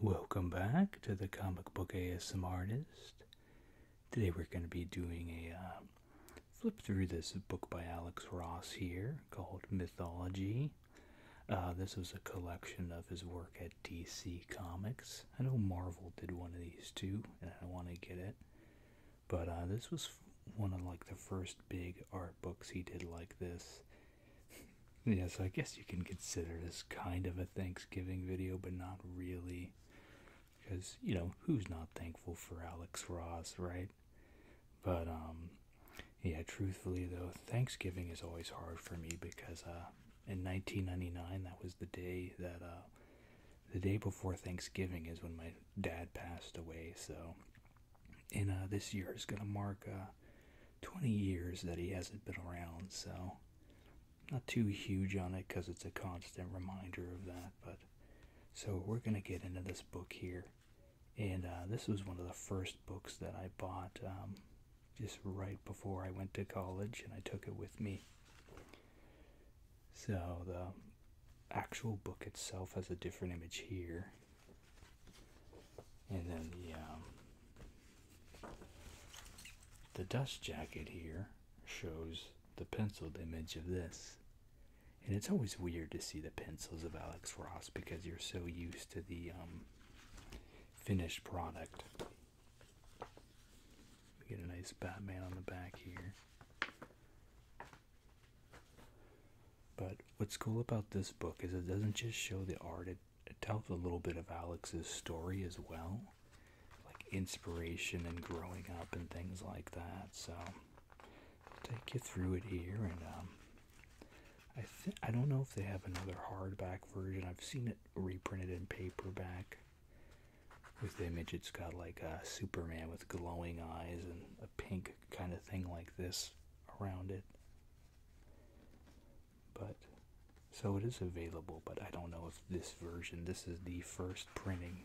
Welcome back to the Comic Book ASM Artist. Today we're going to be doing a um, flip through this book by Alex Ross here called Mythology. Uh, this was a collection of his work at DC Comics. I know Marvel did one of these too, and I want to get it. But uh, this was one of like the first big art books he did like this. yeah, so I guess you can consider this kind of a Thanksgiving video, but not really. Because, you know, who's not thankful for Alex Ross, right? But, um, yeah, truthfully though, Thanksgiving is always hard for me because, uh, in 1999, that was the day that, uh, the day before Thanksgiving is when my dad passed away, so in uh, this year is gonna mark uh, 20 years that he hasn't been around, so not too huge on it because it's a constant reminder of that. But so we're gonna get into this book here, and uh, this was one of the first books that I bought um, just right before I went to college, and I took it with me. So the actual book itself has a different image here and then the um, the dust jacket here shows the penciled image of this and it's always weird to see the pencils of alex ross because you're so used to the um, finished product we get a nice batman on the back here but what's cool about this book is it doesn't just show the art, it tells a little bit of Alex's story as well, like inspiration and growing up and things like that. So I'll take you through it here, and um, I th I don't know if they have another hardback version. I've seen it reprinted in paperback. With the image, it's got like a Superman with glowing eyes and a pink kind of thing like this around it but so it is available but i don't know if this version this is the first printing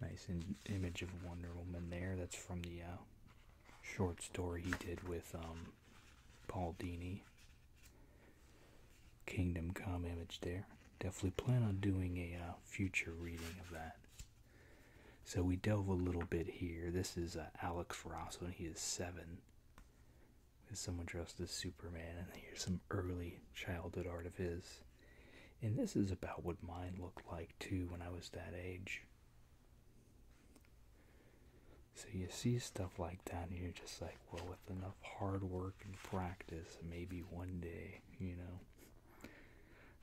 nice image of wonder woman there that's from the uh, short story he did with um, paul dini kingdom come image there definitely plan on doing a uh, future reading of that so we delve a little bit here. This is uh, Alex Ross and he is seven. With someone dressed as Superman, and here's some early childhood art of his. And this is about what mine looked like too when I was that age. So you see stuff like that, and you're just like, well, with enough hard work and practice, maybe one day, you know,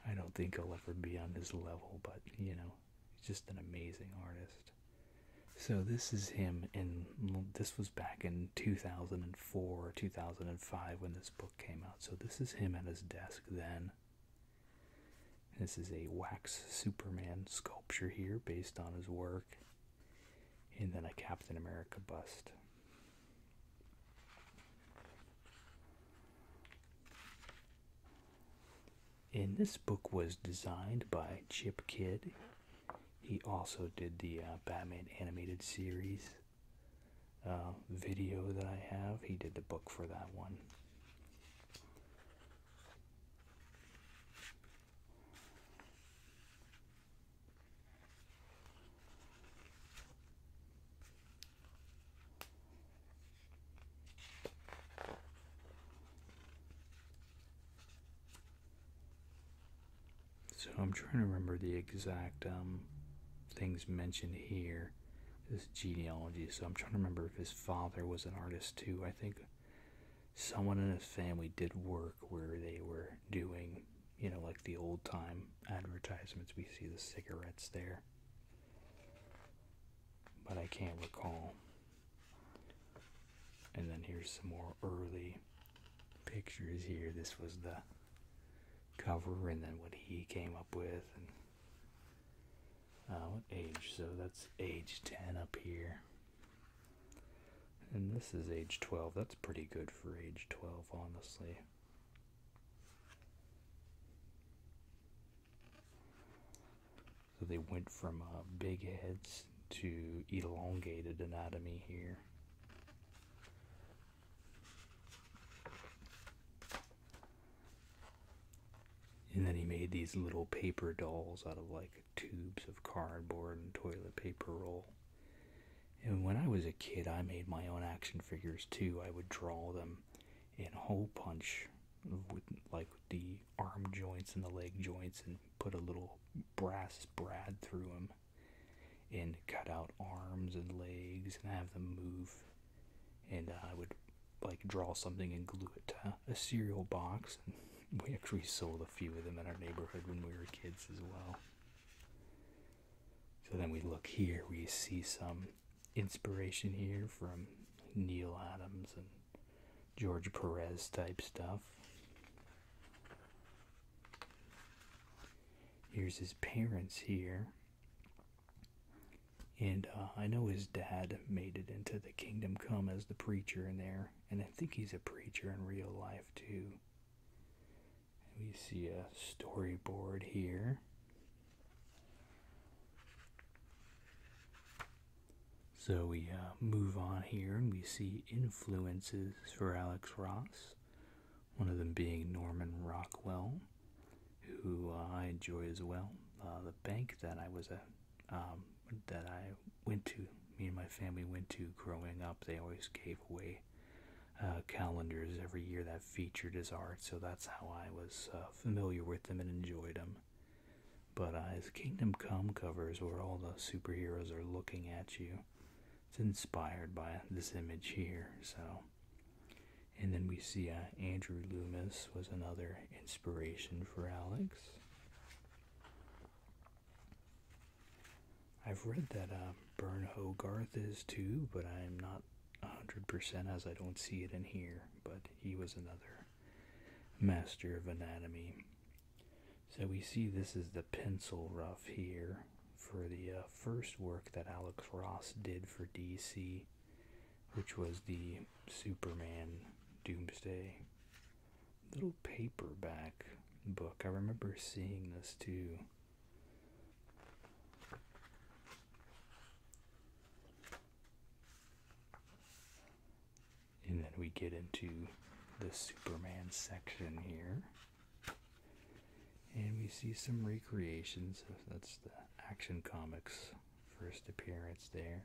I don't think I'll ever be on his level, but you know, he's just an amazing artist. So this is him, and this was back in 2004 or 2005 when this book came out. So this is him at his desk then. This is a wax Superman sculpture here based on his work, and then a Captain America bust. And this book was designed by Chip Kidd. He also did the uh, Batman animated series uh, video that I have. He did the book for that one. So I'm trying to remember the exact um, things mentioned here. This genealogy. So I'm trying to remember if his father was an artist too. I think someone in his family did work where they were doing, you know, like the old time advertisements. We see the cigarettes there but I can't recall. And then here's some more early pictures here. This was the cover, and then what he came up with. And uh, what age? So that's age 10 up here. And this is age 12. That's pretty good for age 12, honestly. So they went from uh, big heads to elongated anatomy here. And then he made these little paper dolls out of like tubes of cardboard and toilet paper roll. And when I was a kid, I made my own action figures too. I would draw them and hole punch with like the arm joints and the leg joints and put a little brass brad through them and cut out arms and legs and have them move and i would like draw something and glue it to a cereal box and we actually sold a few of them in our neighborhood when we were kids as well so then we look here we see some inspiration here from Neil Adams and George Perez type stuff. Here's his parents here. And uh, I know his dad made it into the kingdom come as the preacher in there. And I think he's a preacher in real life too. We see a storyboard here. So we uh, move on here and we see influences for Alex Ross, one of them being Norman Rockwell, who I enjoy as well. Uh, the bank that I was at, um, that I went to, me and my family went to growing up, they always gave away uh, calendars every year that featured his art, so that's how I was uh, familiar with them and enjoyed them. But uh, his Kingdom Come covers, where all the superheroes are looking at you, it's inspired by this image here. So, and then we see Andrew Loomis was another inspiration for Alex. I've read that uh, Bern Hogarth is too, but I'm not 100% as I don't see it in here, but he was another master of anatomy. So we see this is the pencil rough here for the uh, first work that Alex Ross did for DC, which was the Superman Doomsday little paperback book. I remember seeing this too. And then we get into the Superman section here. And we see some recreations. That's the Action Comics first appearance there.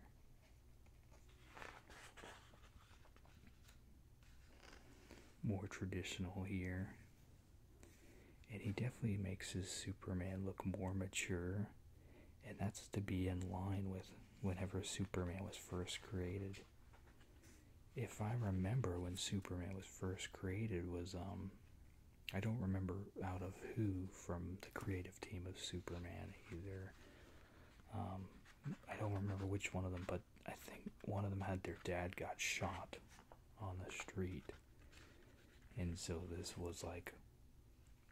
More traditional here and he definitely makes his Superman look more mature, and that's to be in line with whenever Superman was first created. If I remember when Superman was first created was um I don't remember out of who from the creative team of Superman either. Um, I don't remember which one of them, but I think one of them had their dad got shot on the street. And so this was like,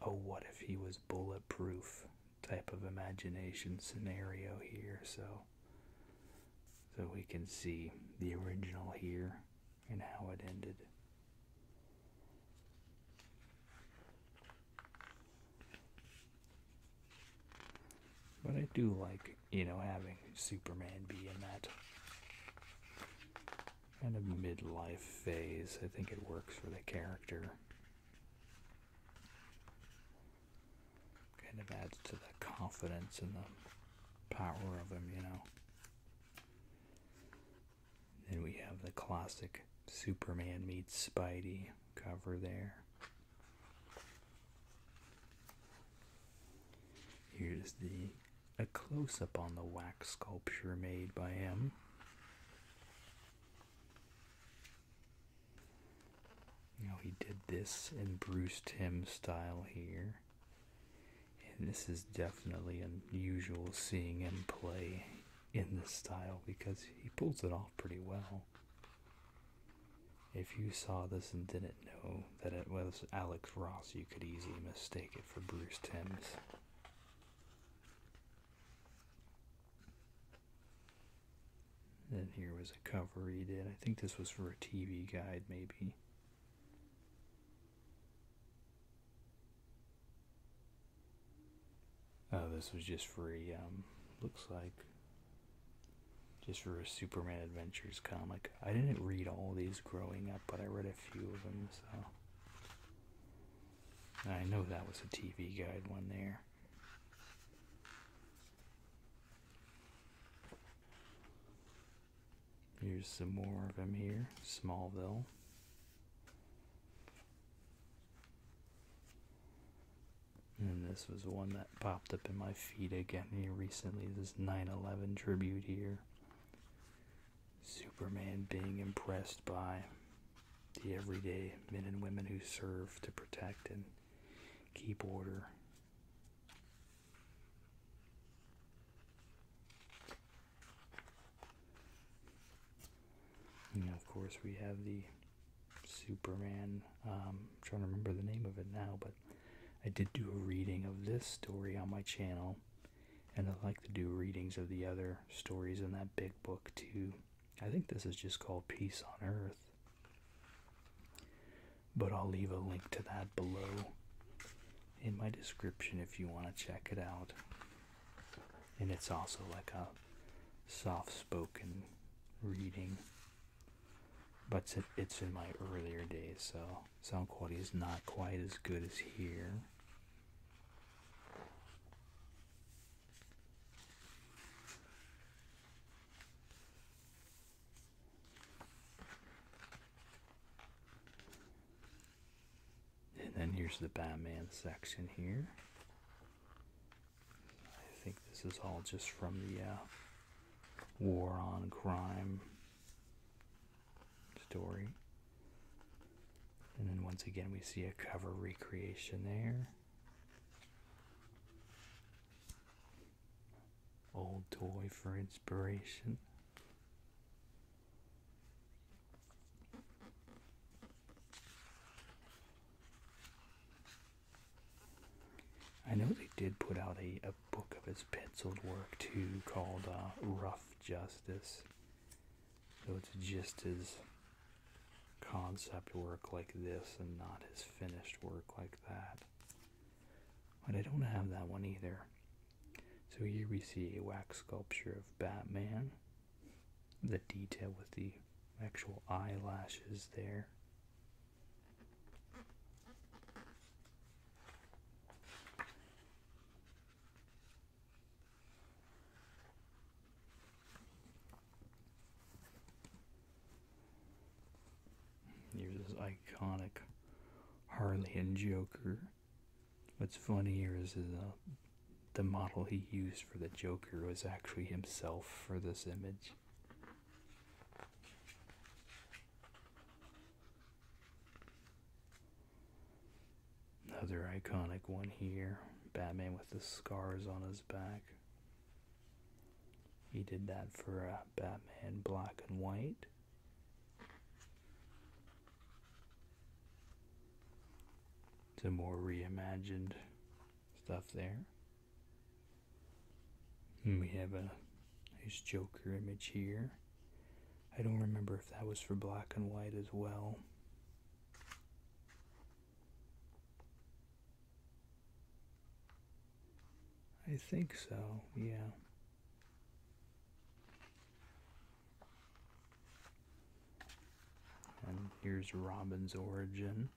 oh, what if he was bulletproof type of imagination scenario here? So, so we can see the original here and how it ended. But I do like, you know, having Superman be in that kind of midlife phase. I think it works for the character. Kind of adds to the confidence and the power of him, you know. Then we have the classic Superman meets Spidey cover there. Here's the a close up on the wax sculpture made by him. You he did this in Bruce Timm style here. And this is definitely unusual seeing him play in this style because he pulls it off pretty well. If you saw this and didn't know that it was Alex Ross, you could easily mistake it for Bruce Timms. Then here was a cover he did. I think this was for a TV guide, maybe. Oh, this was just for a, um, looks like, just for a Superman Adventures comic. I didn't read all these growing up, but I read a few of them, so. I know that was a TV guide one there. Here's some more of them here. Smallville. And this was one that popped up in my feed again here recently. This 9 11 tribute here. Superman being impressed by the everyday men and women who serve to protect and keep order. And of course, we have the Superman. Um, I'm trying to remember the name of it now, but I did do a reading of this story on my channel, and I like to do readings of the other stories in that big book too. I think this is just called Peace on Earth. But I'll leave a link to that below in my description if you want to check it out. And it's also like a soft spoken reading. But it's in my earlier days, so sound quality is not quite as good as here. And then here's the Batman section here. I think this is all just from the uh, War on Crime story. And then once again, we see a cover recreation there. Old toy for inspiration. I know they did put out a, book of his penciled work too called uh, Rough Justice. So it's just his concept work like this and not his finished work like that. But I don't have that one either. So here we see a wax sculpture of Batman. The detail with the actual eyelashes there. Here's this iconic Harley and Joker. What's funny here is uh, the model he used for the Joker was actually himself for this image. Another iconic one here. Batman with the scars on his back. He did that for uh, Batman Black and White. Some more reimagined stuff there. we have a Nice Joker image here. I don't remember if that was for black and white as well. I think so, yeah. And here's Robin's origin.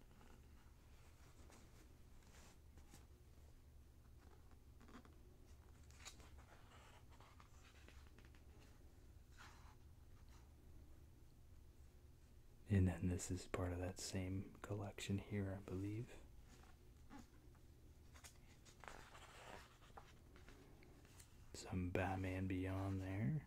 And then this is part of that same collection here, I believe. Some Batman Beyond there.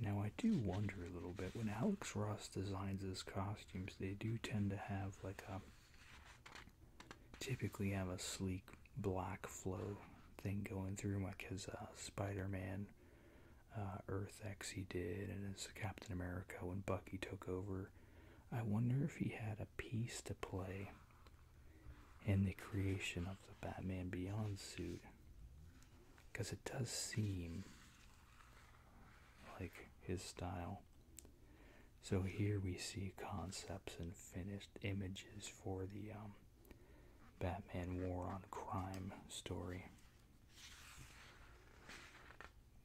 Now, I do wonder a little bit when Alex Ross designs his costumes, they do tend to have like a typically have a sleek black flow thing going through, like his uh, Spider Man uh, Earth X he did, and his Captain America when Bucky took over. I wonder if he had a piece to play in the creation of the Batman Beyond suit because it does seem like his style. So here we see concepts and finished images for the um, Batman War on Crime story.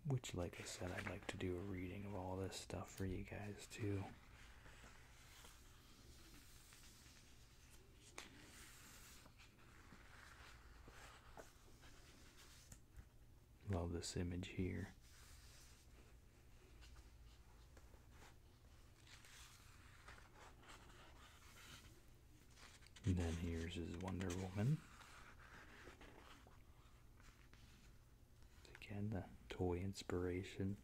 Which, like I said, I'd like to do a reading of all this stuff for you guys too. Love this image here. then here's his Wonder Woman. Again, the toy inspiration.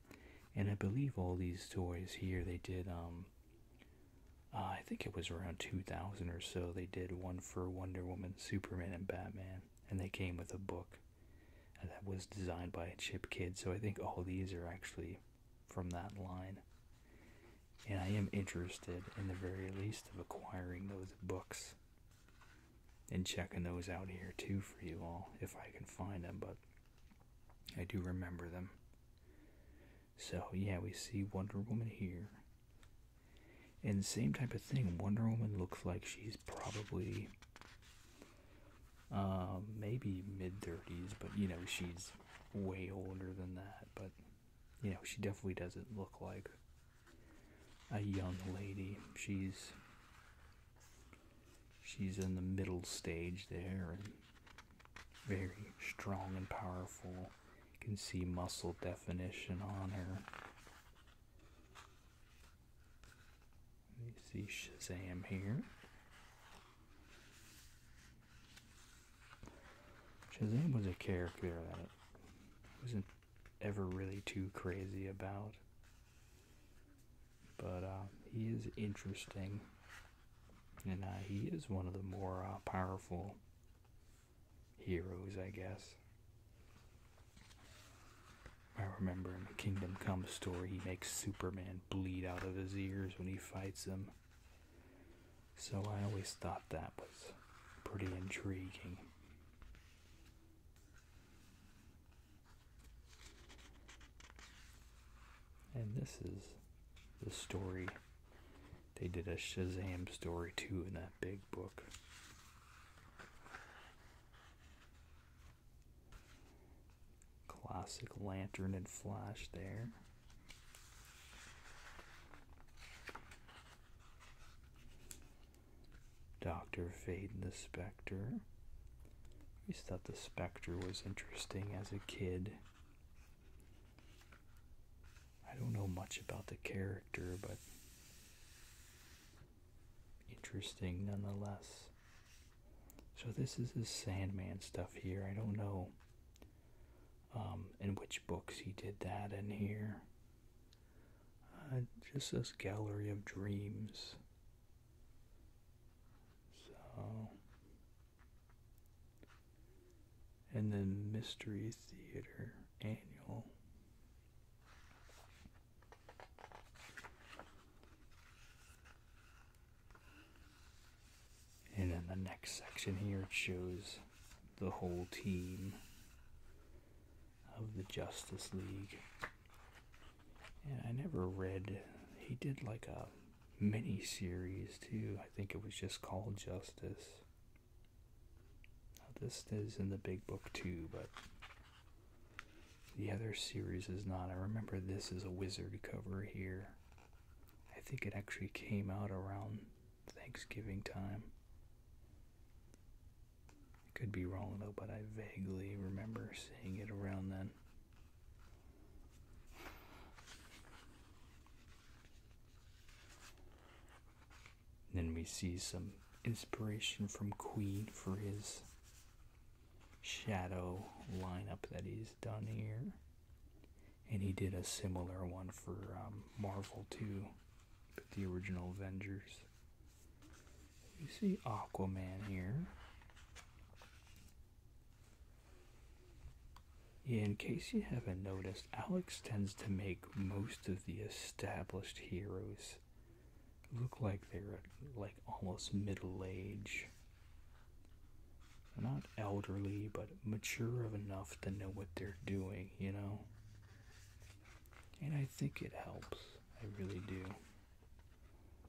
And I believe all these toys here, they did um, uh, I think it was around 2000 or so. They did one for Wonder Woman, Superman, and Batman, and they came with a book uh, that was designed by chip Kidd. So I think all these are actually from that line. And I am interested, in the very least, of acquiring those books and checking those out here too for you all if I can find them. But I do remember them. So, yeah, we see Wonder Woman here. And same type of thing. Wonder Woman looks like she's probably um, maybe mid 30s, but you know, she's way older than that. But you know, she definitely doesn't look like a young lady. She's she's in the middle stage there very strong and powerful. You can see muscle definition on her. You see Shazam here. Shazam was a character that wasn't ever really too crazy about. But uh, he is interesting and uh, he is one of the more uh, powerful heroes, I guess. I remember in the Kingdom Come story, he makes Superman bleed out of his ears when he fights him. So I always thought that was pretty intriguing. And this is the story they did a Shazam story too in that big book. Classic lantern and flash there. Dr. Fade and the Spectre. I always thought the Spectre was interesting as a kid. I don't know much about the character, but interesting nonetheless. So this is his Sandman stuff here. I don't know um, in which books he did that in here. Uh, just this gallery of dreams. So and then Mystery Theater Annual. And then the next section here, shows the whole team of the Justice League. And I never read, he did like a mini series too. I think it was just called Justice. this is in the big book too, but the other series is not. I remember this is a wizard cover here. I think it actually came out around Thanksgiving time. Could be wrong though, but I vaguely remember seeing it around then. Then we see some inspiration from Queen for his shadow lineup that he's done here. And he did a similar one for um, Marvel too, but the original Avengers. You see Aquaman here in case you haven't noticed, Alex tends to make most of the established heroes look like they're like almost middle age. not elderly, but mature enough to know what they're doing, you know? And I think it helps. I really do.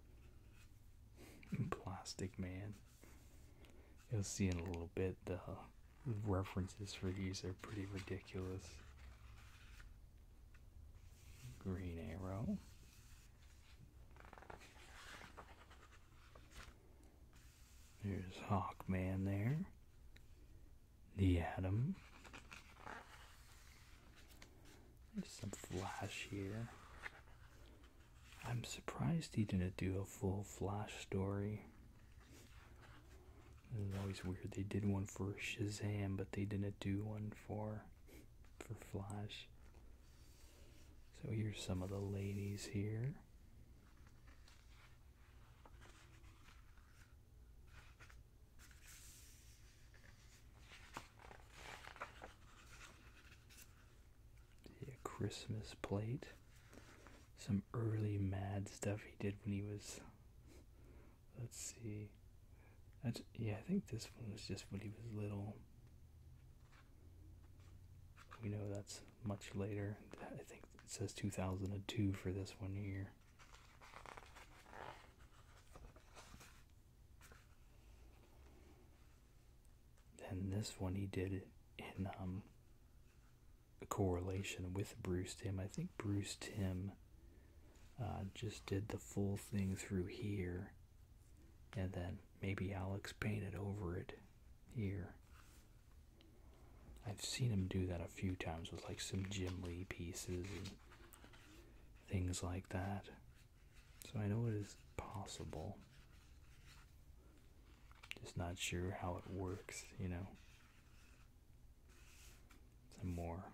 Plastic Man. You'll see in a little bit the references for these are pretty ridiculous. Green Arrow. There's Hawkman there. The Atom. There's some Flash here. I'm surprised he didn't do a full Flash story. It's always weird. They did one for Shazam, but they didn't do one for for Flash. So here's some of the ladies here a Christmas plate. Some early mad stuff he did when he was. Let's see. yeah, I think this one was just when he was little. We know that's much later. I think it says 2002 for this one here than this one he did in um, correlation with Bruce Tim. I think Bruce Tim uh, just did the full thing through here, and then maybe Alex painted over it here. I've seen him do that a few times with like some Jim Lee pieces and things like that. So I know it is possible. Just not sure how it works, you know. It's a more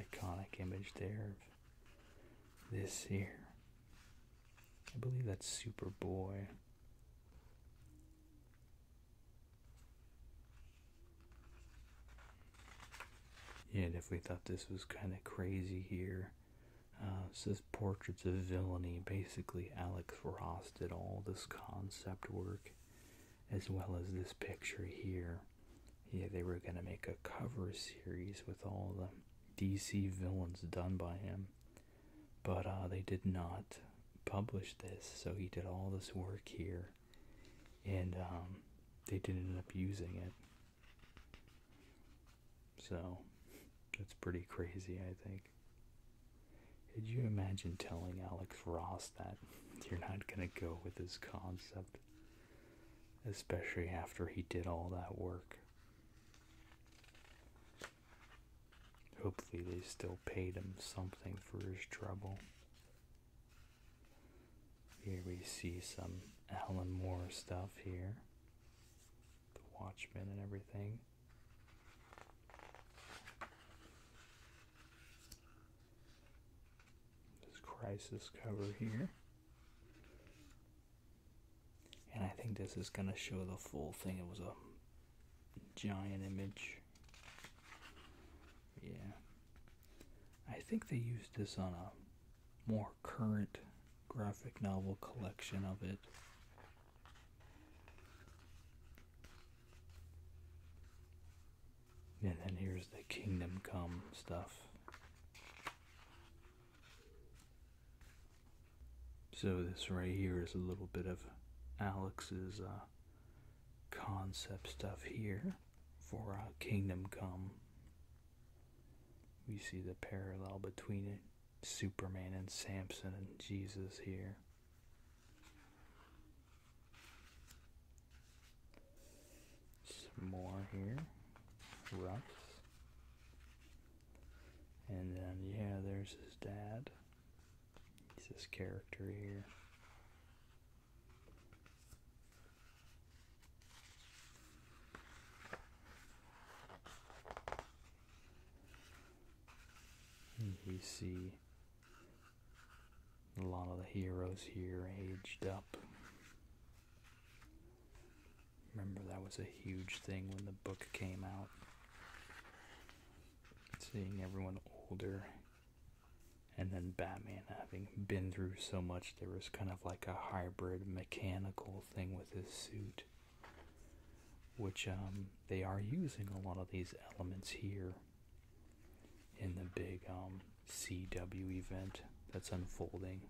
iconic image there this here. I believe that's Superboy. And if we thought this was kind of crazy here. Uh, it says portraits of villainy. Basically, Alex Ross did all this concept work, as well as this picture here. Yeah, they were gonna make a cover series with all the DC villains done by him, but uh, they did not publish this. So he did all this work here, and um, they didn't end up using it. So that's pretty crazy, I think. Could you imagine telling Alex Ross that you're not going to go with his concept? Especially after he did all that work. Hopefully, they still paid him something for his trouble. Here we see some Alan Moore stuff here the Watchmen and everything. This crisis cover here. And I think this is going to show the full thing. It was a giant image. Yeah. I think they used this on a more current graphic novel collection of it. And then here's the Kingdom Come stuff. So this right here is a little bit of Alex's uh, concept stuff here for uh, Kingdom Come. We see the parallel between it Superman and Samson and Jesus here. Some more here. Russ. And then, yeah, there's his dad. He's this character here. And we see a lot of the heroes here aged up. Remember, that was a huge thing when the book came out. Seeing everyone older, and then Batman having been through so much, there was kind of like a hybrid mechanical thing with his suit which um, they are using a lot of these elements here in the big um, CW event that's unfolding.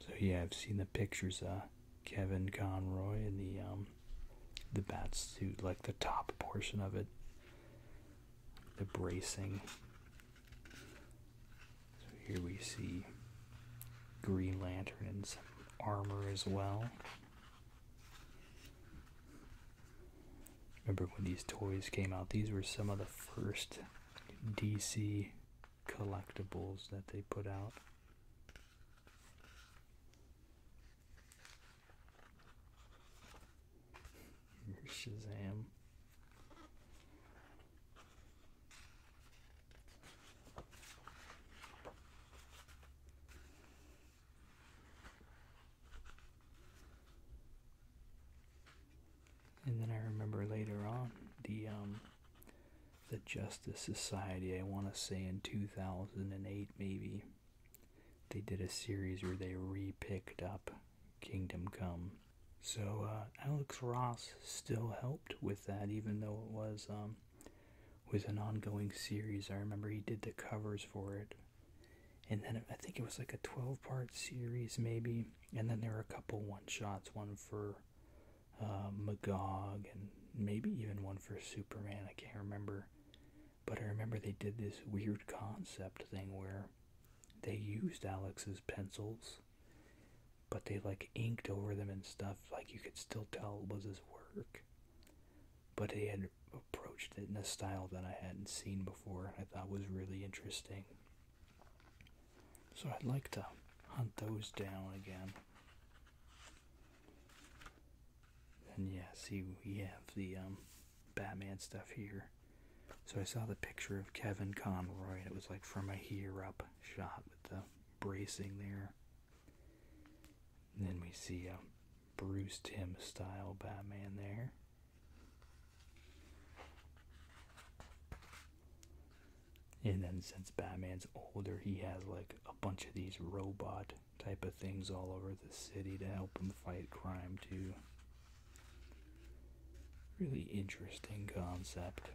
So yeah, I've seen the pictures of Kevin Conroy in the um, the bat suit, like the top portion of it, the bracing. So here we see Green Lantern in some armor as well. Remember when these toys came out? These were some of the first DC collectibles that they put out. Here's Shazam. And then I remember later on the um, the Justice Society. I want to say in 2008 maybe they did a series where they repicked up Kingdom Come so uh, Alex Ross still helped with that, even though it was um, an ongoing series. I remember he did the covers for it, and then I think it was like a twelve part series, maybe. And then there were a couple one shots, one for uh, Magog, and maybe even one for Superman. I can't remember, but I remember they did this weird concept thing where they used Alex's pencils but they like inked over them and stuff like you could still tell was his work but they had approached it in a style that I hadn't seen before I thought was really interesting so I'd like to hunt those down again and yeah see we have the um, Batman stuff here so I saw the picture of Kevin Conroy and it was like from a here up shot with the bracing there. And then we see a Bruce Tim style Batman there. And then since Batman's older, he has like a bunch of these robot type of things all over the city to help him fight crime too. Really interesting concept.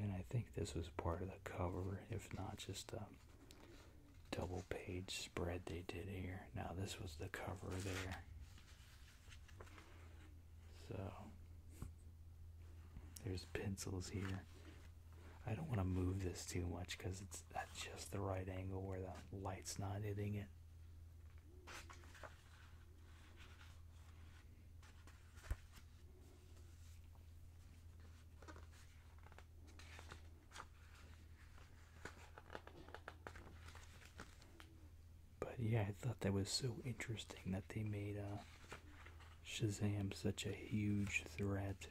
And I think this was part of the cover, if not just a double page spread they did here. Now, this was the cover there. So, there's pencils here. I don't want to move this too much because it's at just the right angle where the light's not hitting it. But yeah, I thought that was so interesting that they made uh, Shazam such a huge threat.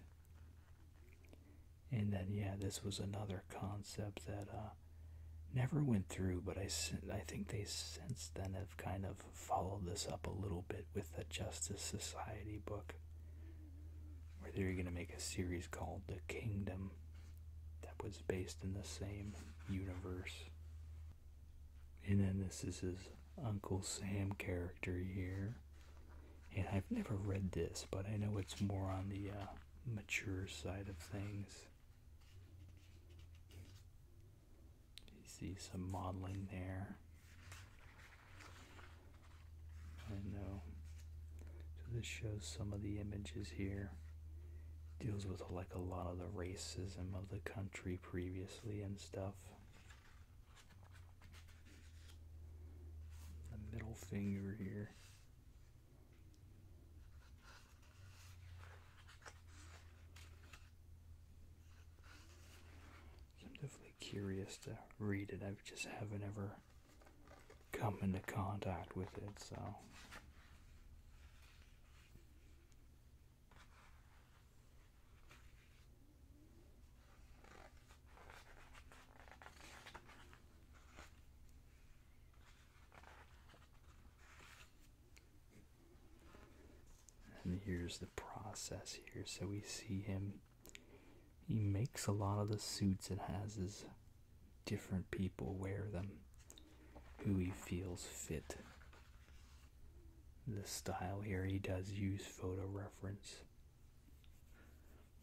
And then, yeah, this was another concept that uh, never went through, but I, I think they since then have kind of followed this up a little bit with the Justice Society book, where they are going to make a series called The Kingdom that was based in the same universe. And then this is his Uncle Sam character here. And I've never read this, but I know it's more on the uh, mature side of things. You see some modeling there. I know. So this shows some of the images here. Deals with like a lot of the racism of the country previously and stuff. The middle finger here. I'm definitely curious to read it. I just haven't ever come into contact with it, so. And here's the process here. So we see him, he makes a lot of the suits It has his different people wear them who he feels fit. The style here, he does use photo reference.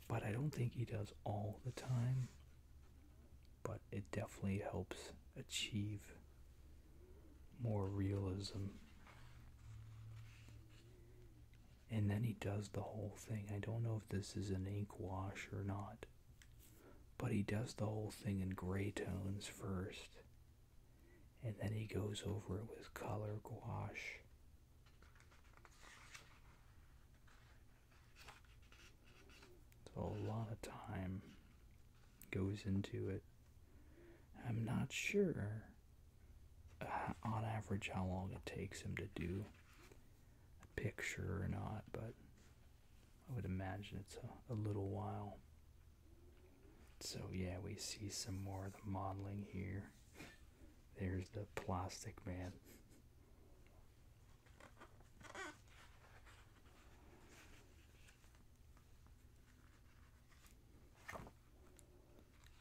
But I don't think he does all the time. But it definitely helps achieve more realism. And then he does the whole thing. I don't know if this is an ink wash or not. But he does the whole thing in gray tones first. And then he goes over it with color gouache so a lot of time goes into it. I'm not sure uh, on average how long it takes him to do a picture or not, but I would imagine it's a, a little while. So, yeah, we see some more of the modeling here. There's the plastic man.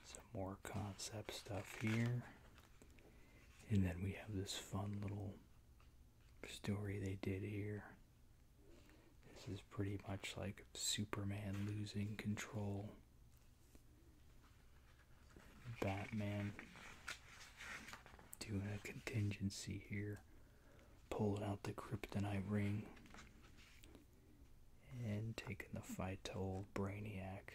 Some more concept stuff here. And then we have this fun little story they did here. This is pretty much like Superman losing control Batman doing a contingency here, pulling out the kryptonite ring and taking the fight to old Brainiac,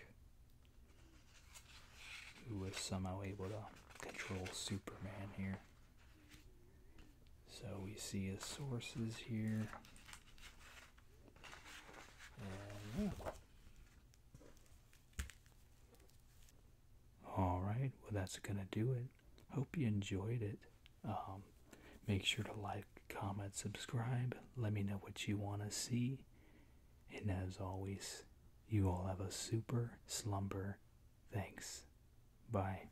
who was somehow able to control Superman here. So we see his sources here. All right, well, that's gonna do it. Hope you enjoyed it. Um, make sure to like, comment, subscribe. Let me know what you want to see. And as always, you all have a super slumber. Thanks. Bye.